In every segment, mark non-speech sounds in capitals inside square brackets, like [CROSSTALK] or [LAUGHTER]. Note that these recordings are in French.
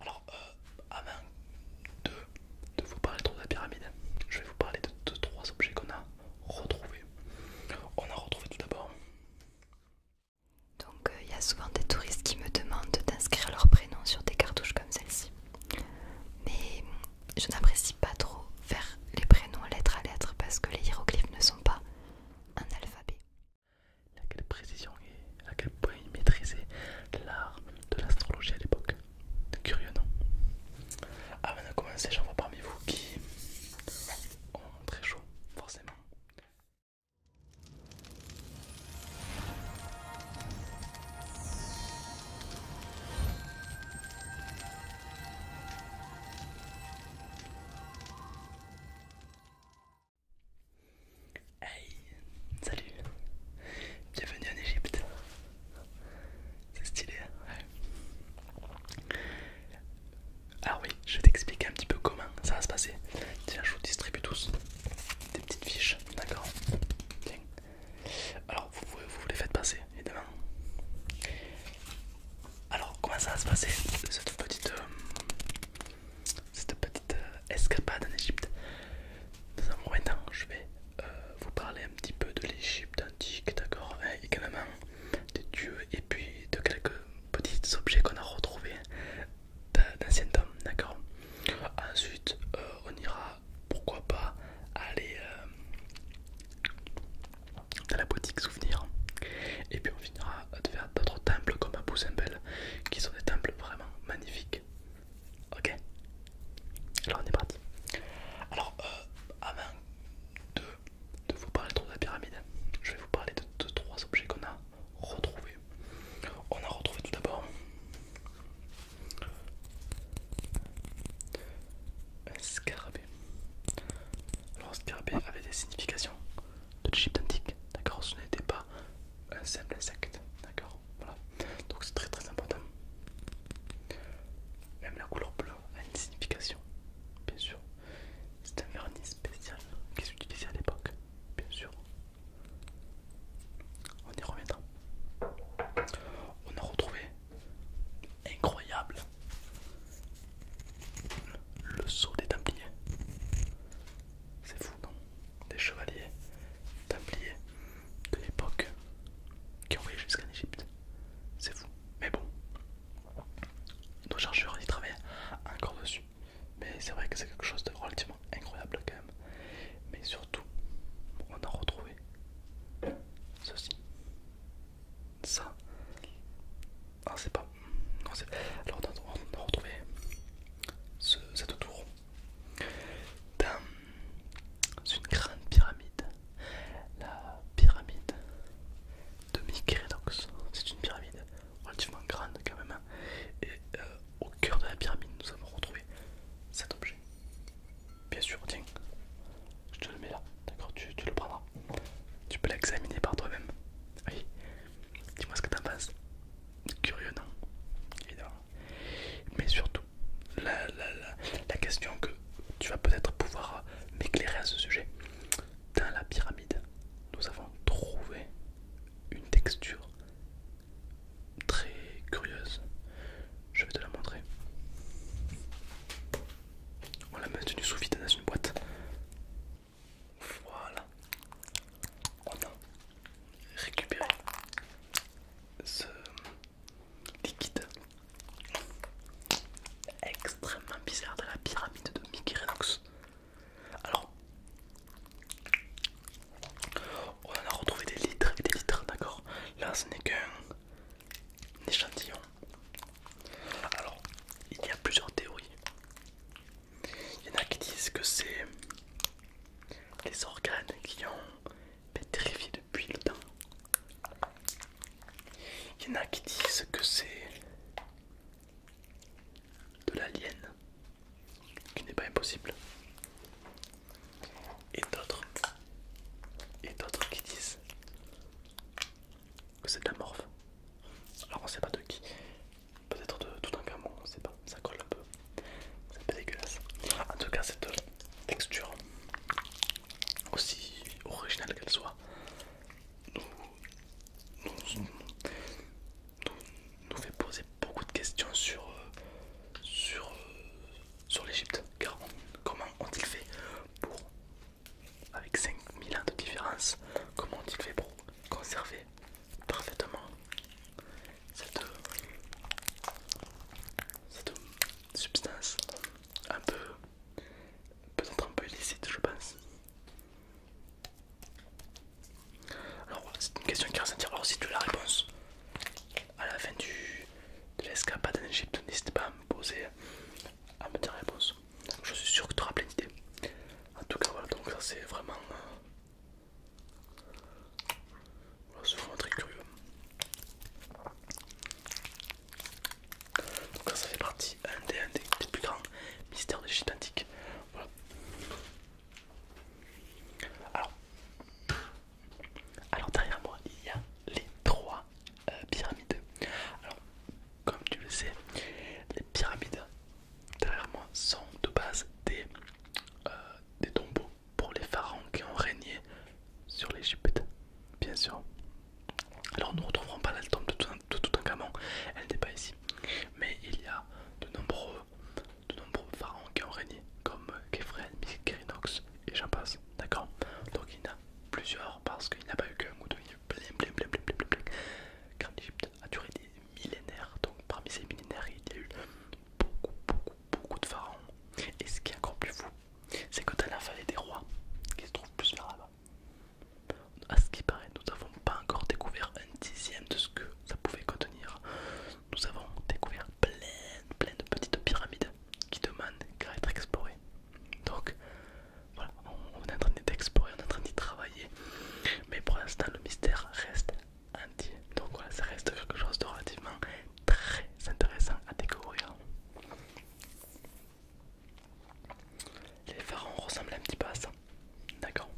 Alors, euh, avant de, vous parler de la pyramide, je vais vous parler de, trois objets qu'on a retrouvés. On a retrouvé tout d'abord. Donc, euh, il y a souvent des touristes qui me demandent d'inscrire leurs prénoms sur des cartouches comme celle-ci. Mais je n'apprécie pas trop faire les prénoms lettre à lettre parce que les hiéroglyphes ne sont pas un alphabet à quelle précision et à quel point il maîtrisait l'art de l'astrologie à l'époque. Curieux, non Avant ah, de commencer, j'en vois parmi vous qui ont très chaud, forcément. Hey, salut, bienvenue en Égypte. C'est stylé, hein. ouais. Alors ah oui, je vais t'expliquer un petit peu comment ça va se passer. Tiens, je vous distribue tous des petites fiches, d'accord Alors vous, vous, les faites passer, évidemment. Alors comment ça va se passer cette petite euh, cette petite euh, escapade en Égypte. Dans un moment je vais euh, vous parler un petit peu de l'Égypte antique, d'accord hein, Également des dieux et puis de quelques petits objets qu'on a retrouvés d'anciens temps, d'accord Ensuite, euh, on ira, pourquoi pas, aller à la boutique souvenir et puis on finira de faire d'autres temples comme Abu Simbel qui sont des temples vraiment magnifiques. Ok Alors on est parti. Alors euh, avant de, vous parler trop de la pyramide, je vais vous parler de, trois objets qu'on a retrouvés. On a retrouvé tout d'abord un scarabée. Alors, scarabée avait des significations de l'Égypte antique, d'accord Ce n'était pas euh, un simple insecte, d'accord Voilà, donc c'est très très important. Même la couleur bleue a une signification, bien sûr. C'est un vernis spécial qui s'utilisait à l'époque, bien sûr. On y reviendra. On a retrouvé, incroyable, le seau des tampiniers. C'est fou, non Des chevaliers, tabliers de l'époque qui ont voyé jusqu'en Égypte. C'est fou. Mais bon, nos chercheurs y travaillent encore dessus. Mais c'est vrai que c'est quelque chose de relativement incroyable quand même. Mais surtout, on a retrouvé ceci. Ça, ah, c'est pas. Alors, on a retrouvé cette tour dans une grande pyramide. La pyramide de Mykéridox. C'est une pyramide relativement grande, quand même. Hein. Et euh, au cœur de la pyramide, nous avons retrouvé cet objet. Bien sûr, tiens, je te le mets là, d'accord tu, tu le prendras. Tu peux l'examiner par toi-même. Oui, Dis-moi ce que t'en penses. Curieux, non Évidemment. Mais surtout, la, la, la, question que tu vas peut-être pouvoir m'éclairer à ce sujet. Dans la pyramide, nous avons trouvé une texture très curieuse. Je vais te la montrer. On l'a maintenue sous vide dans une boîte. Voilà. On a récupéré ce liquide extrêmement bizarre de la pyramide de Mickey Alors, on en a retrouvé des litres et des litres, d'accord Là, ce n'est qu'un échantillon. Alors, il y a plusieurs théories il y en a qui disent que c'est les organes qui ont pétrifié depuis le temps. Il y en a qui disent que c'est de l'alien, qui n'est pas impossible. Et d'autres, et d'autres qui disent que c'est de la morphe Alors on sait pas de qui, peut-être de tout un gamin, on sait pas, ça colle un peu, c'est un peu dégueulasse. En tout cas, cette texture, aussi originale qu'elle soit, nous, nous, nous, fait poser beaucoup de questions sur, sur, sur l'Egypte. Car comment ont-ils fait pour, avec 5000 ans de différence, comment ont-ils fait pour conserver parfaitement cette, substance un peu peut-être un peu illicite je pense alors c'est une question qui ressentira alors si tu la réponse à la fin de l'escapade en Égypte n'hésite pas à me poser à me dire la réponse je suis sûr que tu auras plein d'idées. En tout cas, voilà, donc ça c'est vraiment. Euh, voilà, c'est vraiment très curieux. Donc, ça fait partie un des, plus grands mystères de l'Égypte antique. Voilà. Alors, alors, derrière moi, il y a les trois euh, pyramides. Alors, comme tu le sais, les pyramides derrière moi sont de base des, euh, des tombeaux pour les pharaons qui ont régné sur l'Égypte, bien sûr. Alors nous ne retrouverons pas la tombe de tout, un, tout un elle n'est pas ici. Mais il y a de nombreux, de nombreux pharaons qui ont régné, comme Kefren, Mykérinox et j'en d'accord Donc il y en a plusieurs parce qu'il n'y a pas eu qu'un ou deux, a duré des millénaires. Donc parmi ces millénaires, il y a eu beaucoup, beaucoup, beaucoup de pharaons. Et ce qui est encore plus fou, c'est que dans la vallée des rois, qui se trouve plus là-bas, à ce qui paraît, nous n'avons pas encore découvert un dixième de ce que ça pouvait contenir. Nous avons découvert plein, plein de petites pyramides qui demandent qu'à être explorées. Donc, on, est en train d'explorer, on est en train d'y travailler, mais pour l'instant le mystère reste entier. Donc voilà, ça reste quelque chose de relativement très intéressant à découvrir. Les pharaons ressemblent un petit peu à ça, d'accord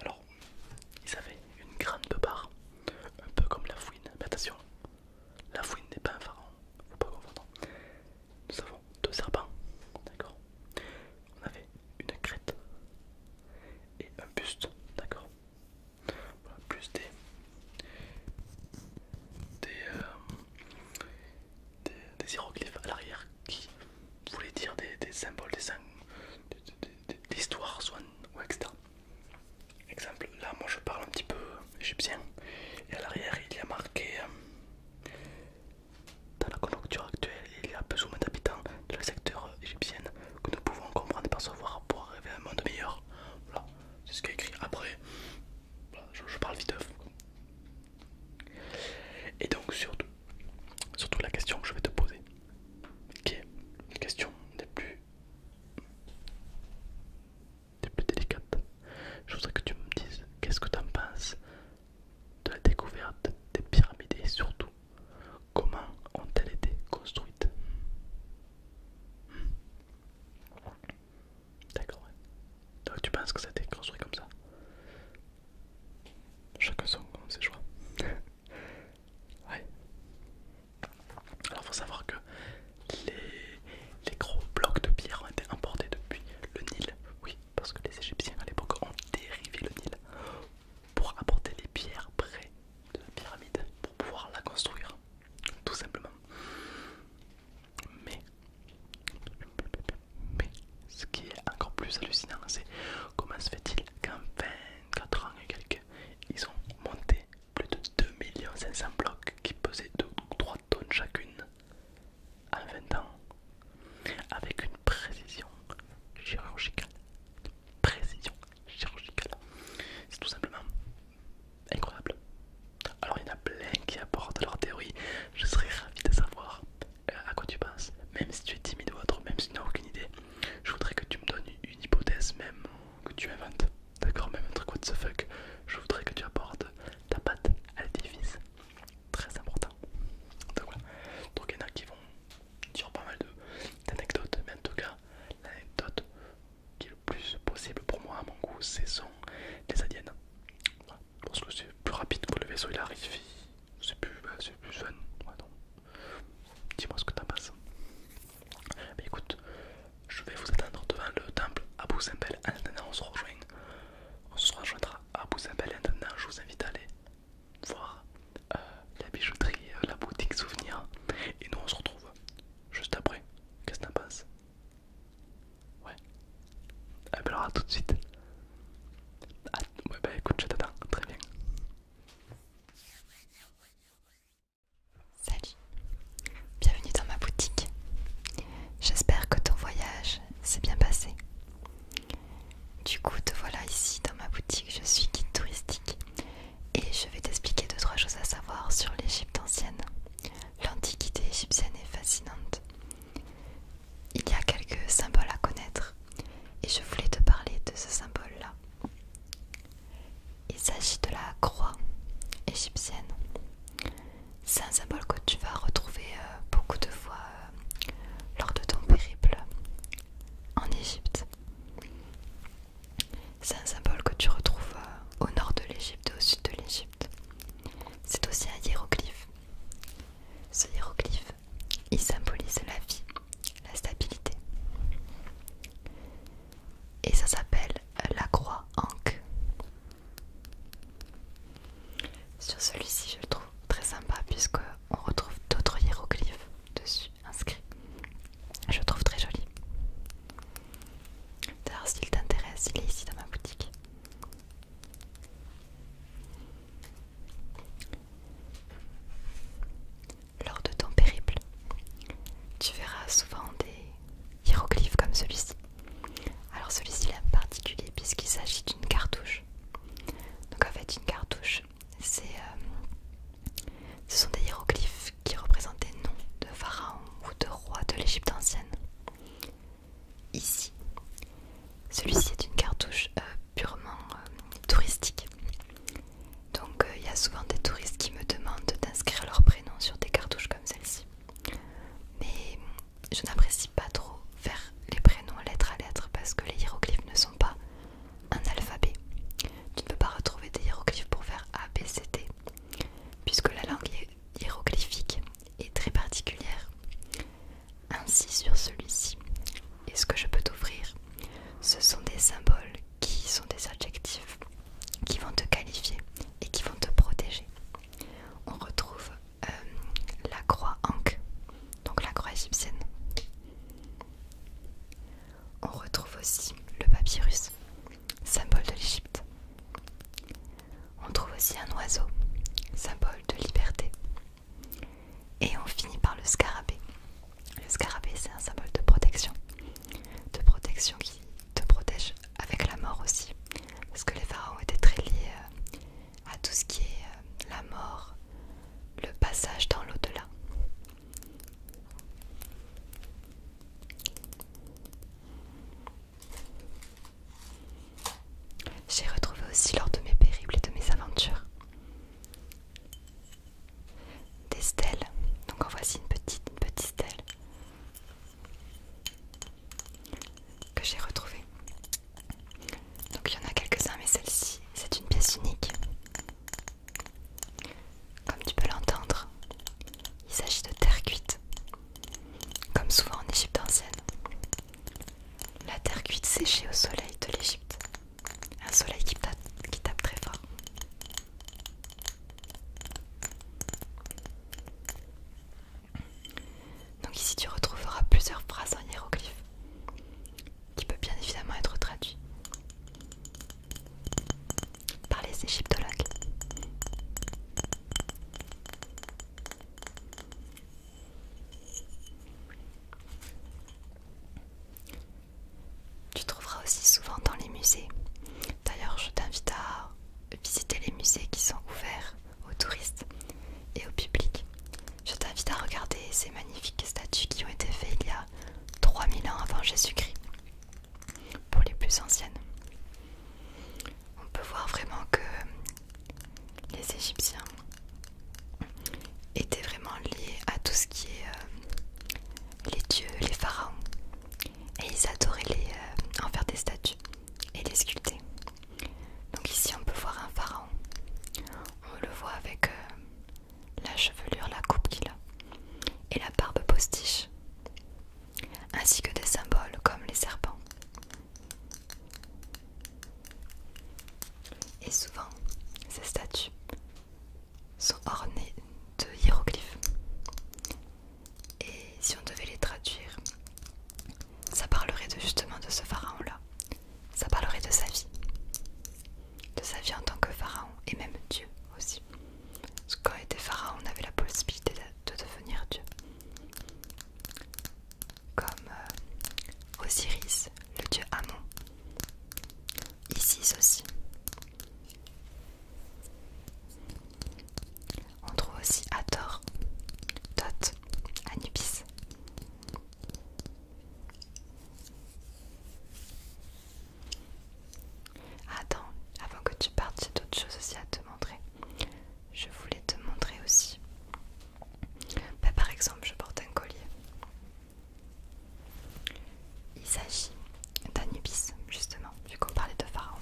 Alors, ils avaient une grande barre, un peu comme la fouine, mais attention, la fouine n'est pas un pharaon, faut pas confondre nous avons deux serpents, d'accord On avait une crête et un buste, d'accord Plus des, euh, des, des, hiéroglyphes à l'arrière qui voulaient dire des, symboles, des, des, des, histoires, soit, ou etc. Exemple, là moi je parle un petit peu égyptien et à l'arrière il y a marqué euh, dans la conjoncture actuelle, il y a besoin d'habitants de la secteur euh, égyptienne que nous pouvons comprendre et percevoir pour arriver à un monde meilleur. Voilà, c'est ce qu'il a écrit. Après, je, parle vite. Et donc, surtout, surtout la question que je vais te poser, qui est une question plus, des plus délicates. Je voudrais que tu me dises qu'est-ce que tu en penses de la découverte des pyramides et surtout comment ont-elles été construites hmm. D'accord. Ouais. tu penses que ça a été construit comme ça Chacun son comme ses choix. [LAUGHS] ouais. Alors faut savoir que les, gros blocs de pierre ont été emportés depuis le Nil. Oui, parce que les Égyptiens à l'époque ont dérivé le Nil pour apporter les pierres près de la pyramide pour pouvoir la construire, tout simplement. Mais, mais ce qui est encore plus hallucinant, c'est comment se fait-il qu'en 24 ans et quelques, ils ont monté plus de 2 500 blocs qui pesaient 2 ou 3 tonnes chacune en 20 ans avec une précision chirurgicale. Une précision chirurgicale. C'est tout simplement incroyable. Alors il y en a plein qui apportent leur théorie. Je serais ravi de savoir euh, à quoi tu penses. Même si tu es timide ou autre, même si tu n'as aucune idée, je voudrais que tu me donnes une hypothèse même que tu inventes. D'accord Même un truc what the fuck. Je voudrais que tu apportes ta patte à l'édifice très important. Donc Donc il y en a qui vont dire pas mal d'anecdotes, mais en tout cas, l'anecdote qui est le plus possible pour moi, à mon goût, c'est sont les adiennes. Parce que c'est plus rapide que le vaisseau il arrive, c'est plus, bah, plus fun. Dis-moi ce que t'en penses. écoute, je vais vous attendre devant le temple Abu Simbel. on se On se rejoindra à maintenant, je vous invite à aller voir euh, la bijouterie, euh, la boutique souvenir. Et nous on se retrouve juste après. Qu'est-ce que t'en penses Ouais. alors tout de suite. Ah, ouais bah écoute, je t'attends, très bien. Salut, bienvenue dans ma boutique. J'espère que ton voyage c'est bien passé. Du coup, te voilà ici dans ma boutique, je suis guide touristique et je vais t'expliquer deux trois choses à savoir sur l'Égypte ancienne. L'antiquité égyptienne est fascinante. Il y a quelques symboles à connaître et je voulais te parler de ce symbole-là. Il s'agit de la croix égyptienne. C'est un symbole que tu vas retrouver euh, beaucoup de fois euh, lors de ton périple en Égypte. C'est un symbole que tu retrouves euh, au nord de l'Égypte et au sud de l'Égypte. C'est aussi un hiéroglyphe. Ce hiéroglyphe, il symbolise la vie, la stabilité. Et ça s'appelle la croix Ankh. Sur celui-ci, je le trouve très sympa puisque on retrouve d'autres hiéroglyphes dessus inscrits. Je le trouve très joli. D'ailleurs, s'il t'intéresse, il est ici dans ma boutique. Lors de ton périple, tu verras souvent des hiéroglyphes comme celui-ci. Alors celui-ci est particulier puisqu'il s'agit d'une cartouche. Donc en fait une cartouche, c'est, euh, ce sont des hiéroglyphes qui représentent des noms de pharaons ou de rois de l'Égypte ancienne. Ici, celui-ci est une cartouche euh, purement euh, touristique. Donc il y a souvent des touristes qui me demandent d'inscrire leur prénom sur des cartouches comme celle-ci. Mais je n'apprécie pas trop faire les prénoms lettre à lettre parce que les hiéroglyphes ne sont pas un alphabet. Tu ne peux pas retrouver des hiéroglyphes pour faire A, B, C, D, puisque la langue hiéroglyphique est très particulière. Ainsi sur celui-ci, et ce que je peux t'offrir, ce sont des symboles qui sont des adjectifs qui vont te qualifier et qui vont te protéger. On retrouve euh, la croix Ankh, donc la croix égyptienne. On retrouve aussi le papyrus, symbole de l'Égypte. On trouve aussi un oiseau, symbole de liberté. Et on finit par le scarabée. Le scarabée, c'est un symbole de protection. De protection qui te protège avec la mort aussi. Parce que les pharaons étaient très liés euh, à tout ce qui est euh, la mort, le passage dans l'au-delà. J'ai retrouvé aussi lors de mes périples et de mes aventures des stèles. Donc en voici une petite, petite stèle que j'ai retrouvé Donc il y en a quelques-uns, mais celle-ci, c'est une pièce unique. Comme tu peux l'entendre, il s'agit de terre cuite, comme souvent en Égypte ancienne. La terre cuite séchée au soleil de l'Égypte, un soleil qui qui tape très fort. Donc ici tu retrouveras plusieurs phrases en hiéroglyphes qui peut bien évidemment être traduit par les égyptologues. Tu trouveras aussi souvent dans les musées. D'ailleurs, je t'invite à visiter les musées qui sont ouverts aux touristes et au public. Je t'invite à regarder ces magnifiques statues qui ont été faites il y a 3000 ans avant Jésus-Christ, pour les plus anciennes. On peut voir vraiment que les Égyptiens étaient vraiment liés à tout ce qui est euh, les dieux, les pharaons. Et ils adoraient les, euh, en faire des statues et les sculpter. Donc ici on peut voir un pharaon. On le voit avec euh, la chevelure, la coupe qu'il a et la barbe postiche, ainsi que des symboles comme les serpents. Et souvent, ces statues sont ornées de hiéroglyphes et si on devait les traduire, ça parlerait de, justement de ce pharaon-là. Ça parlerait de sa vie. De sa vie en tant que pharaon et même Dieu aussi. Parce que quand il était pharaon, on avait la possibilité de, devenir Dieu. Comme euh, Osiris, le dieu Amon. Isis aussi. On trouve aussi tort, tot Anubis. Attends, avant que tu partes, j'ai d'autres choses aussi à te montrer. Je voulais te montrer aussi. Bah, par exemple, je porte un collier. Il s'agit d'Anubis, justement, vu qu'on parlait de Pharaon.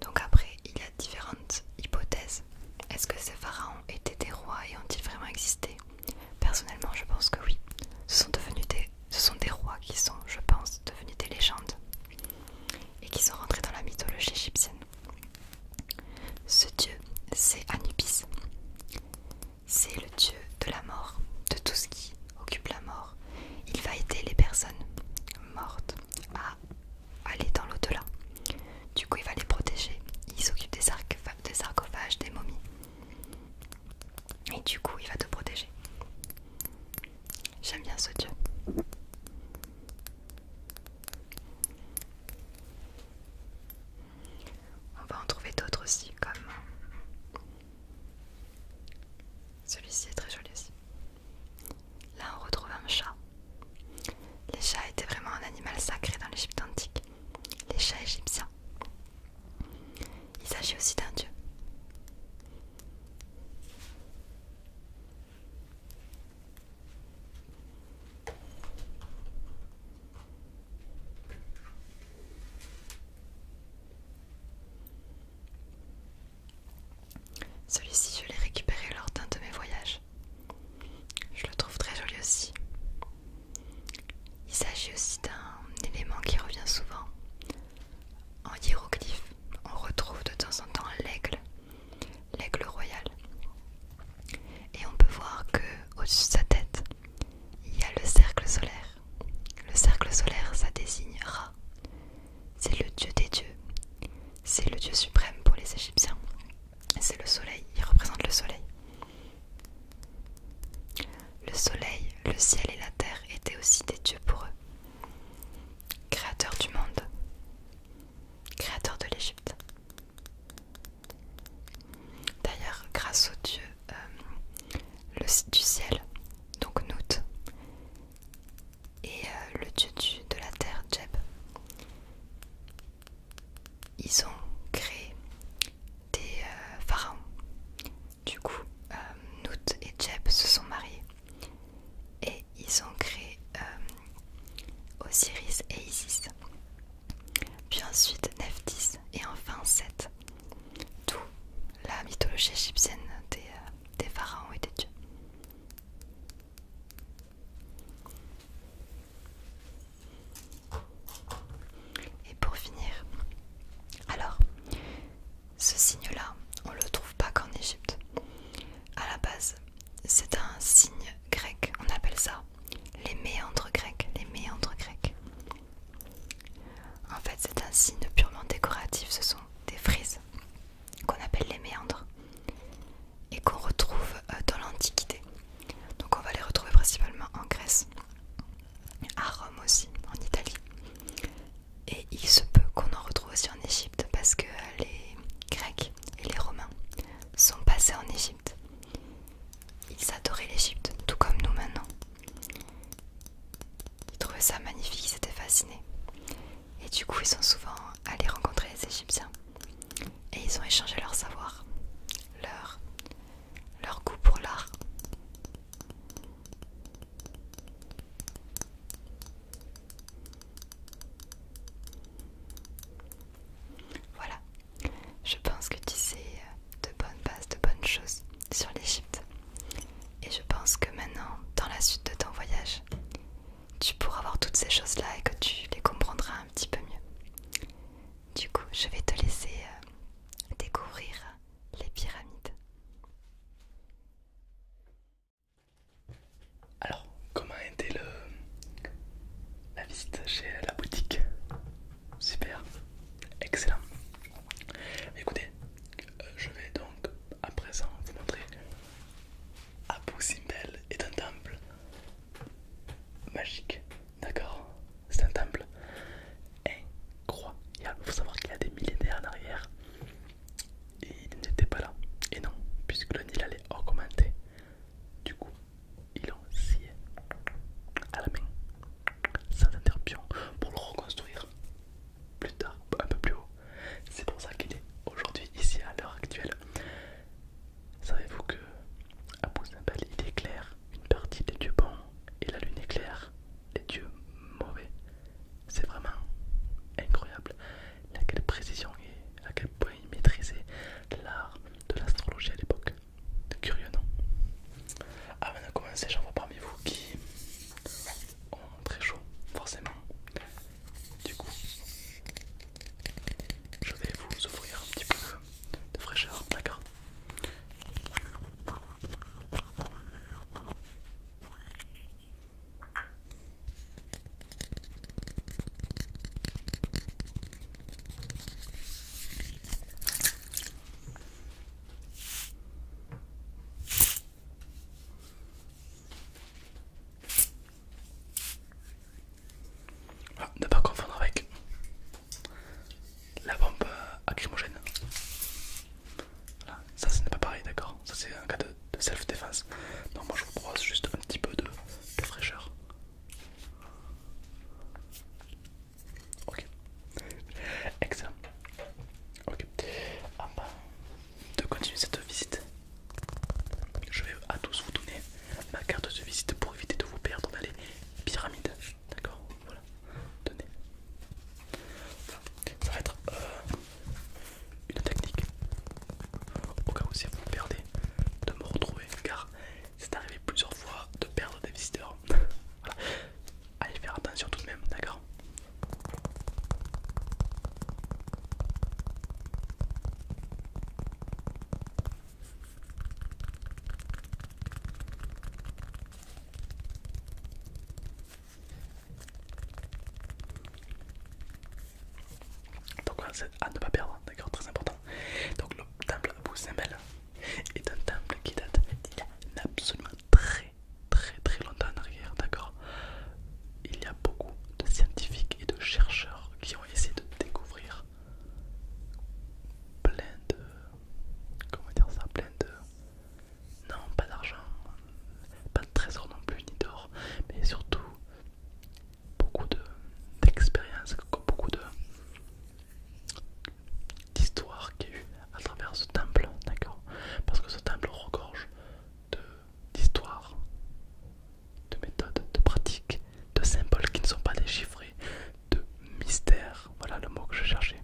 Donc après, il y a différentes hypothèses. Est-ce que ces pharaons étaient des rois et ont-ils vraiment existé Personnellement, je pense que oui. Ce sont, devenus ce sont des rois qui sont, je pense, devenus des légendes et qui sont rentrés dans la mythologie égyptienne. Ce dieu, c'est Anubis. C'est le dieu de la mort, de tout ce qui occupe la mort. Il va aider les personnes mortes à aller dans l'au-delà. Du coup, il va les protéger. Il s'occupe des, des sarcophages, des momies. Et du coup, il va te protéger. J'aime bien ce dieu. On va en trouver d'autres aussi, comme celui-ci est très joli aussi. Là, on retrouve un chat. Les chats étaient vraiment un animal sacré dans l'Égypte antique, les chats égyptiens. Il s'agit aussi d'un dieu. Celui-ci, je l'ai récupéré lors d'un de mes voyages. Je le trouve très joli aussi. Il s'agit aussi d'un élément qui revient souvent. En hiéroglyphe, on retrouve de temps en temps l'aigle, l'aigle royal. Et on peut voir que au-dessus de sa tête, il y a le cercle solaire. Le cercle solaire, ça désigne c'est le dieu des dieux. C'est le dieu suprême pour les Égyptiens. C'est le soleil, il représente le soleil. Le soleil, le ciel et la terre étaient aussi des dieux pour eux. Créateur du monde, créateur de l'Égypte. D'ailleurs, grâce au dieu euh, du ciel, donc Nout, et euh, le dieu de la terre Jeb. Ils ont créé des euh, pharaons. Du coup, euh, Nut et Jeb se sont mariés et ils ont créé Osiris et Isis. Puis ensuite Nephthys et enfin Seth. Tout la mythologie égyptienne euh, des, pharaons et des dieux. Et pour finir, alors, ce signe-là, on ne le trouve pas qu'en Égypte. À la base, c'est un signe grec, on appelle ça les méandres grecs, les méandres grecs. En fait, c'est un signe purement décoratif, ce sont des frises qu'on appelle les méandres et qu'on retrouve euh, dans l'Antiquité. Donc on va les retrouver principalement en Grèce, à Rome aussi, en Italie. Et il se peut qu'on en retrouve aussi en Égypte parce que euh, les Grecs et les Romains sont passés en Égypte. Ils adoraient l'Égypte, tout comme nous maintenant. Ils trouvaient ça magnifique, ils étaient fascinés. Et du coup, ils sont souvent allés rencontrer les Égyptiens. Et ils ont échangé leur savoir, leur, leur goût pour l'art. Voilà, je pense que tu sais de bonnes bases, de bonnes choses sur l'Égypte. Et je pense que maintenant, dans la suite de ton voyage, tu pourras voir toutes ces choses-là et que tu les comprendras un petit peu mieux. Du coup, je vais te laisser euh, découvrir les pyramides. Alors, comment a été le... la visite chez la boutique Super, excellent. Écoutez, euh, je vais donc à présent vous montrer Abu Simbel est un temple magique, d'accord C'est un temple incroyable. Il faut savoir qu'il y a des millénaires en arrière, il n'était pas là. Et non, puisque le Nil allait augmenter, du coup, ils l'ont scié à la main, sans interruption, pour le reconstruire plus tard, un peu plus haut. C'est pour ça qu'il est aujourd'hui ici à l'heure actuelle. Savez-vous que à il éclaire une partie des dieux bons et la lune éclaire les dieux mauvais. C'est vraiment incroyable la quelle précision et à quel point il maîtrisait l'art de l'astrologie à l'époque. Curieux non Avant de commencer, j'en vois parmi vous qui Oh, très chaud, forcément. Du coup, je vais vous offrir un petit peu de fraîcheur, d'accord voilà, ah, ne pas confondre avec la bombe acrymogène, Voilà, ça ce n'est pas pareil, d'accord Ça c'est un cas de, self-défense. Donc, moi je vous propose juste un petit peu de fraîcheur. Ok. Excellent. Ok. Avant ah bah, de continuer cette visite, je vais à tous vous donner ma carte de visite pour éviter de vous perdre dans les pyramides. D'accord Voilà. Tenez. Ça va être euh, une technique. Au cas où si vous perdez, de me retrouver car c'est arrivé plusieurs fois de perdre des visiteurs. Allez faire attention tout de même, d'accord donc voilà, c'est à ne pas perdre, d'accord, très important. Donc le temple Abu Simbel est un temple qui date d'il y a absolument très très très longtemps en arrière, d'accord Il y a beaucoup de scientifiques et de chercheurs qui ont essayé de découvrir plein de... comment dire ça Plein de... Non, pas d'argent, pas de trésor non plus, ni d'or, mais surtout beaucoup d'expériences, beaucoup de, d'histoire qu'il y a eu à travers ce temple, d'accord Parce que ce temple regorge d'histoires, de, méthodes, de pratiques, de symboles qui ne sont pas déchiffrés, de mystères, voilà le mot que je cherchais.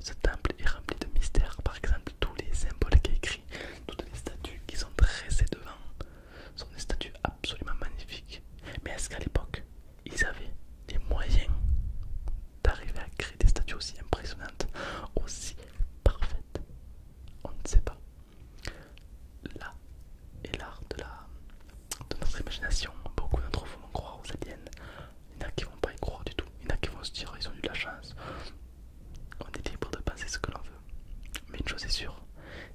Ce temple est rempli de mystères, par exemple tous les symboles qui écrits, toutes les statues qu'ils ont dressées devant sont des statues absolument magnifiques. Mais est-ce qu'à l'époque, ils avaient des moyens d'arriver à créer des statues aussi impressionnantes, aussi parfaites. On ne sait pas. Là est l'art de, la, de notre imagination. Beaucoup d'entre vous vont croire aux aliens. Il y en a qui vont pas y croire du tout. Il y en a qui vont se dire ils ont eu de la chance. On est libre de penser ce que l'on veut. Mais une chose est sûre,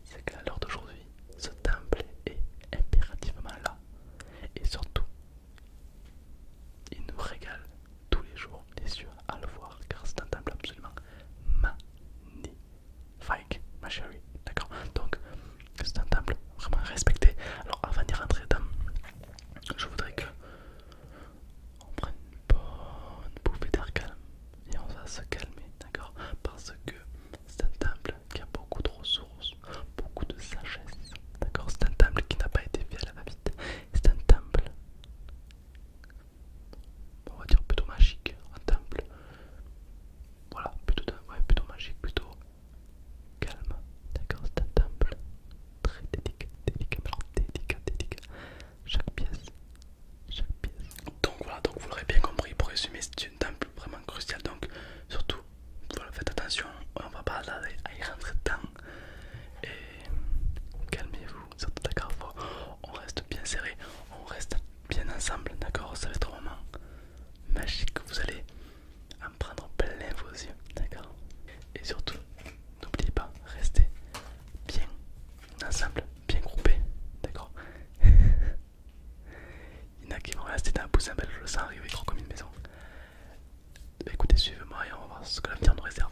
c'est qu'à l'heure d'aujourd'hui, ce temple est impérativement là. Et surtout, il nous régale tous les jours les yeux à le voir car c'est un temple absolument magnifique, ma chérie. D'accord Donc, c'est un temple vraiment respecté. Alors, avant d'y rentrer Je voudrais que. On prenne une bonne bouffée d'air calme et on va se calmer, d'accord Parce que c'est un temple qui a beaucoup de ressources, beaucoup de sagesse. D'accord C'est un temple qui n'a pas été fait à la va-vite. C'est un temple, on va dire plutôt magique. Un temple, voilà, plutôt, plutôt magique, plutôt calme. D'accord C'est un temple très délicat, délicat, délicat, délicat. Chaque pièce, chaque pièce. Donc voilà, donc vous l'aurez bien compris, pour résumer, c'est une temple vraiment crucial, Donc surtout, faites attention, on va pas aller à y rentrer dedans. Et calmez-vous, surtout d'accord, on reste bien serré, on reste bien ensemble, d'accord Ça va être un moment magique, vous allez en prendre plein vos yeux, d'accord Et surtout, n'oubliez pas, restez bien ensemble, bien groupés, d'accord [LAUGHS] Il y en a qui vont rester dans un poussin, je le sens arriver trop comme une maison. Bah, écoutez, suivez-moi et on va voir ce que l'avenir nous réserve.